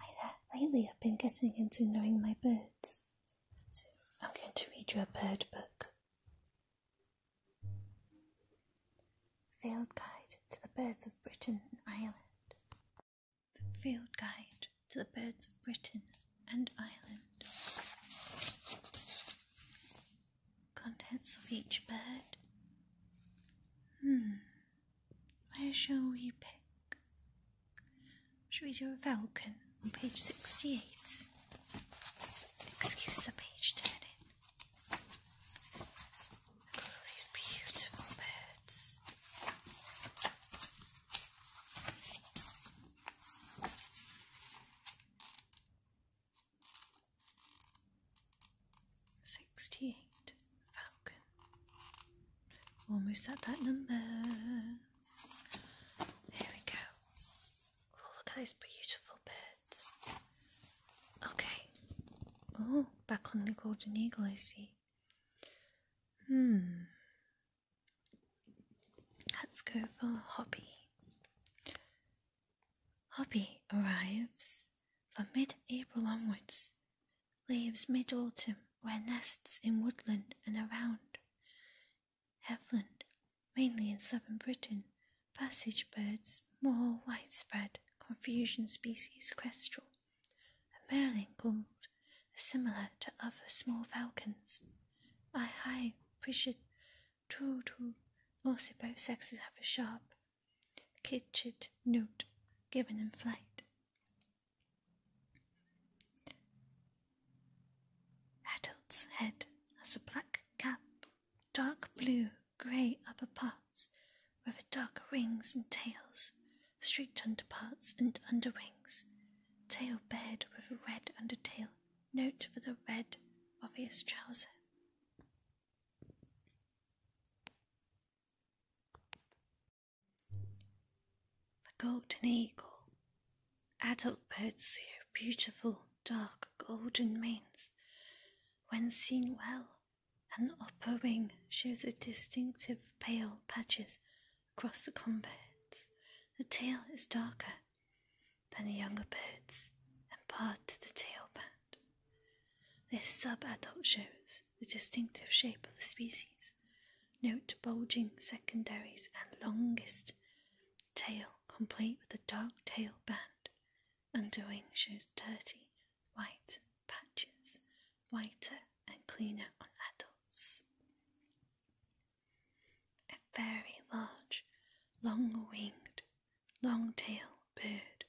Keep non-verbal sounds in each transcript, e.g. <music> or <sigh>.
Uh, lately I've been getting into knowing my birds. So I'm going to read you a bird book. Field Guide to the Birds of Britain and Ireland. The Field Guide to the Birds of Britain and Ireland. Contents of each bird. Hmm, where shall we pick? Should we do a falcon on page 68? Excuse the page turning. Look at all these beautiful birds. 68 Falcon. Almost at that number. Here we go. Oh, look at those beautiful birds. Okay. Oh, back on the golden eagle, I see. Hmm. Let's go for Hobby. Hobby arrives for mid April onwards leaves mid autumn where nests in woodland and around. Heathland, mainly in southern Britain, passage birds more widespread, confusion species kestrel, a merlin gull similar to other small falcons. I high, precious, true, true. Also, both sexes have a sharp, Kitchit note given in flight. Adult's head has a black cap, dark blue, grey upper parts, with dark wings and tails, streaked underparts and underwings, tail bared with a red undertail, note for the red obvious trouser. The golden eagle. Adult birds have beautiful dark golden manes when seen well, and the upper wing shows distinctive pale patches across the coverts. The tail is darker than the younger birds, and part of the tail band. This sub-adult shows the distinctive shape of the species. Note bulging secondaries and longest tail, complete with a dark tail band. Underwing shows dirty white patches, whiter and cleaner on adults. A very large, long winged long tail bird,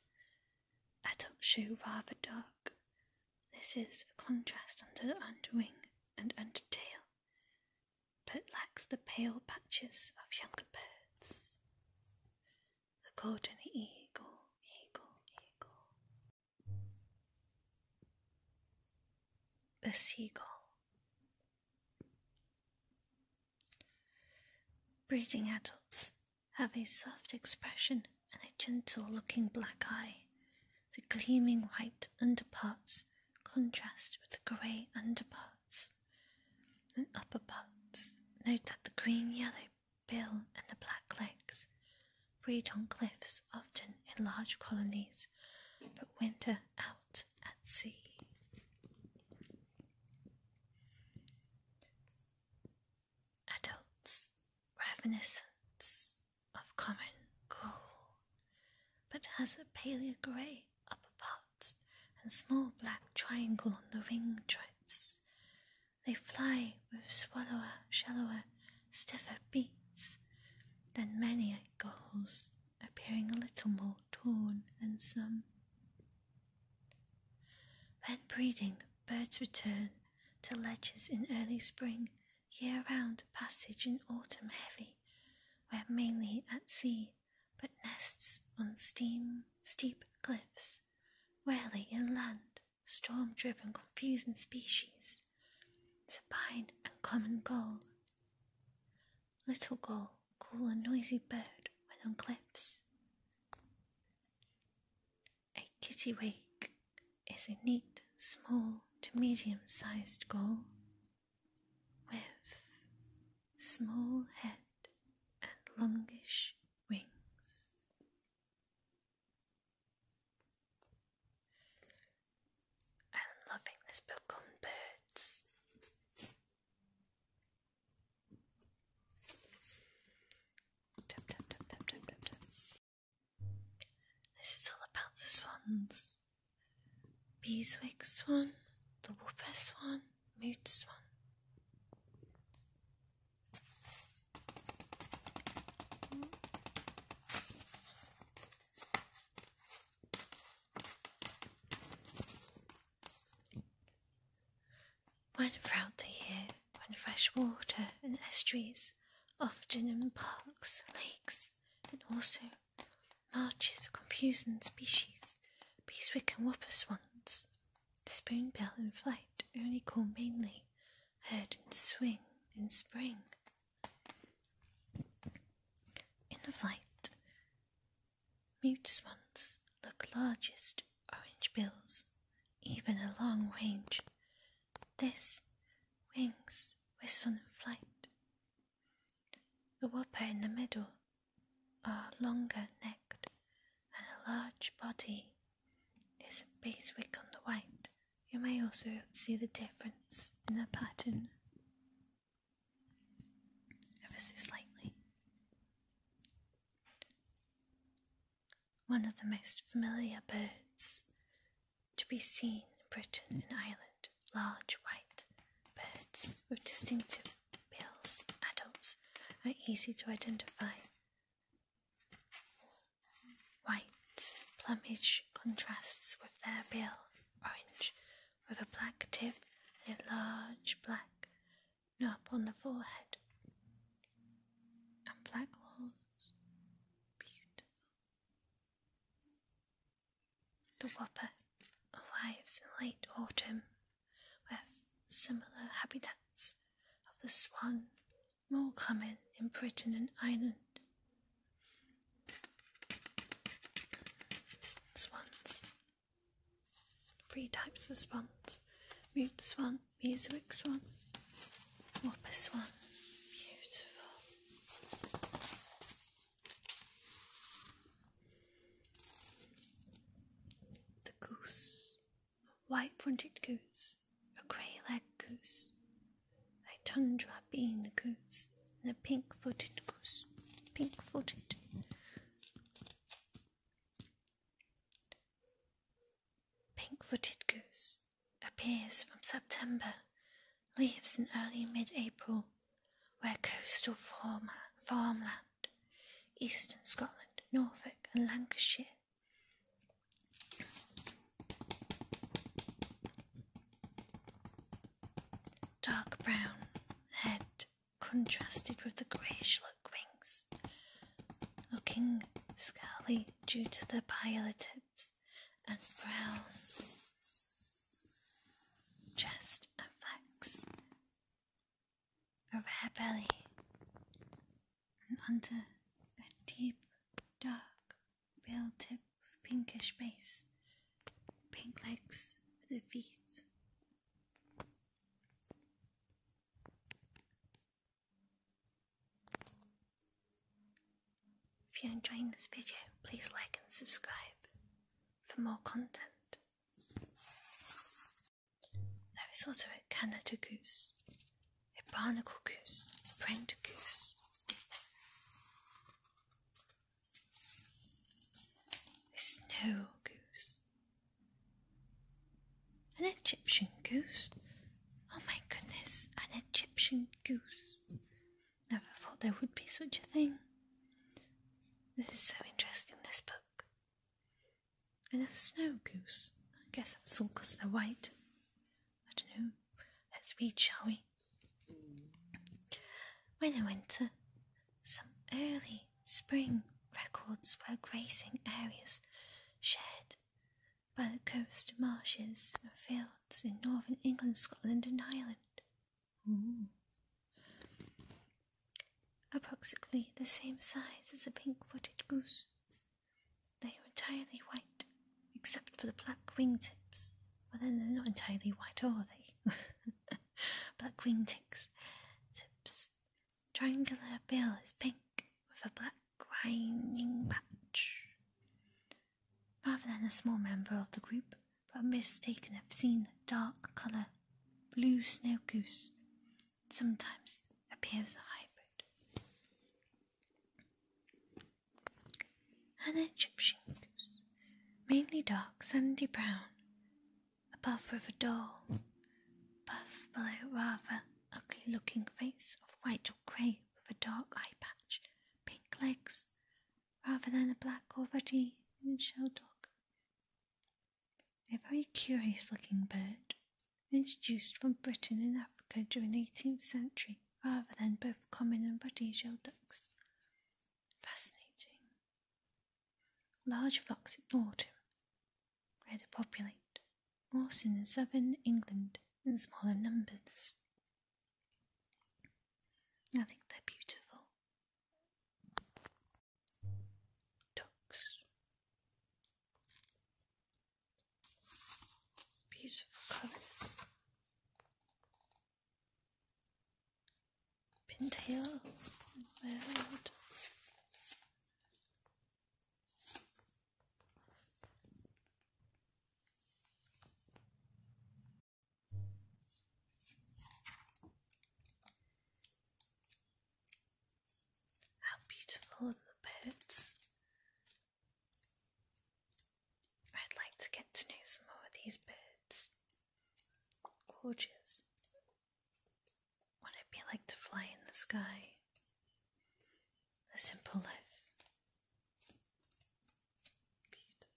adult shoe rather dark. This is a contrast under underwing and undertail, but lacks the pale patches of younger birds. The golden eagle. The seagull. Breeding adults have a soft expression and a gentle looking black eye. The gleaming white underparts contrast with the grey underparts and upperparts. Note that the green yellow bill and the black legs breed on cliffs, often in large colonies, but winter out at sea. Adults, reminiscence of common gull, but has a paler grey upper part and small black triangle on the wing tips. They fly with swallower, shallower, stiffer beats than many gulls, appearing a little more torn than some. When breeding, birds return to ledges in early spring, year round passage in autumn heavy, where mainly at sea, but nests on steam, steep cliffs, rarely inland, storm driven, confusing species, supine and common goal. Little gull, call a noisy bird, when on cliffs. A kittiwake is a neat, small to medium sized gull with small head and longish wings. I'm loving this book on birds. This is all about the swans. Beeswig swan, the whooper swan, mute swan. When throughout the year, when fresh water and estuaries, often in parks, lakes, and also marches confusing species, beeswick and whopper swans, the spoonbill in flight, only call mainly, heard in swing in spring. In flight, Mute swans look largest orange bills, even a long range. This wings whistle in flight. The whopper in the middle are longer necked and a large body. There's a base on the white. You may also see the difference in the pattern ever so slightly. One of the most familiar birds to be seen in Britain and Ireland, large white birds with distinctive bills, adults are easy to identify. White plumage contrasts with their bill, orange with a black tip and a large black knob on the forehead. And black horns. Beautiful. The whopper arrives in late autumn, where similar habits of the swan more common in Britain and Ireland Swans. Three types of swans mute swan, mesoic swan, whopper swan. Beautiful. The goose. A white fronted goose. A grey legged goose a tundra bean goose, and a pink footed goose. Pink footed. Pink footed goose appears from September, leaves in early mid April, where coastal farmland, eastern Scotland, Norfolk, and Lancashire. Dark brown head contrasted with the greyish look wings, looking scaly due to the pile tips and brown chest and flanks, a rare belly, and under a deep dark pale tip pinkish base, pink legs for the feet. If you're enjoying this video, please like and subscribe for more content. There is also a Canada goose, a barnacle goose, a brent goose, a snow goose, an Egyptian goose. Oh my goodness, an Egyptian goose. Never thought there would be such a thing. This is so interesting, this book. And a snow goose. I guess that's all because they're white. I don't know. Let's read, shall we? When I winter, some early spring records were grazing areas shared by the coast marshes and fields in northern England, Scotland, and Ireland. Mm. Approximately the same size as a pink footed goose. They are entirely white, except for the black wingtips. Well, then they're not entirely white, are they? <laughs> black wing tips. Triangular bill is pink with a black grinding patch. Rather than a small member of the group, but mistaken have seen dark colour blue snow goose. Sometimes appears a hybrid and then Egyptian goose, mainly dark, sandy brown, above with a dull, buff below rather ugly looking face of white or grey with a dark eye patch, pink legs, rather than a black or ruddy shell dog. A very curious looking bird, introduced from Britain and Africa during the 18th century rather than both common and protégé ducks. Fascinating. Large flocks in autumn, rather populate, more also in southern England in smaller numbers. I think they're beautiful. Ducks. Beautiful colours. Pintail. Bird. How beautiful are the birds I'd like to get to know some more of these birds. Gorgeous. What it'd be like to fly in the sky. The simple life. Beautiful.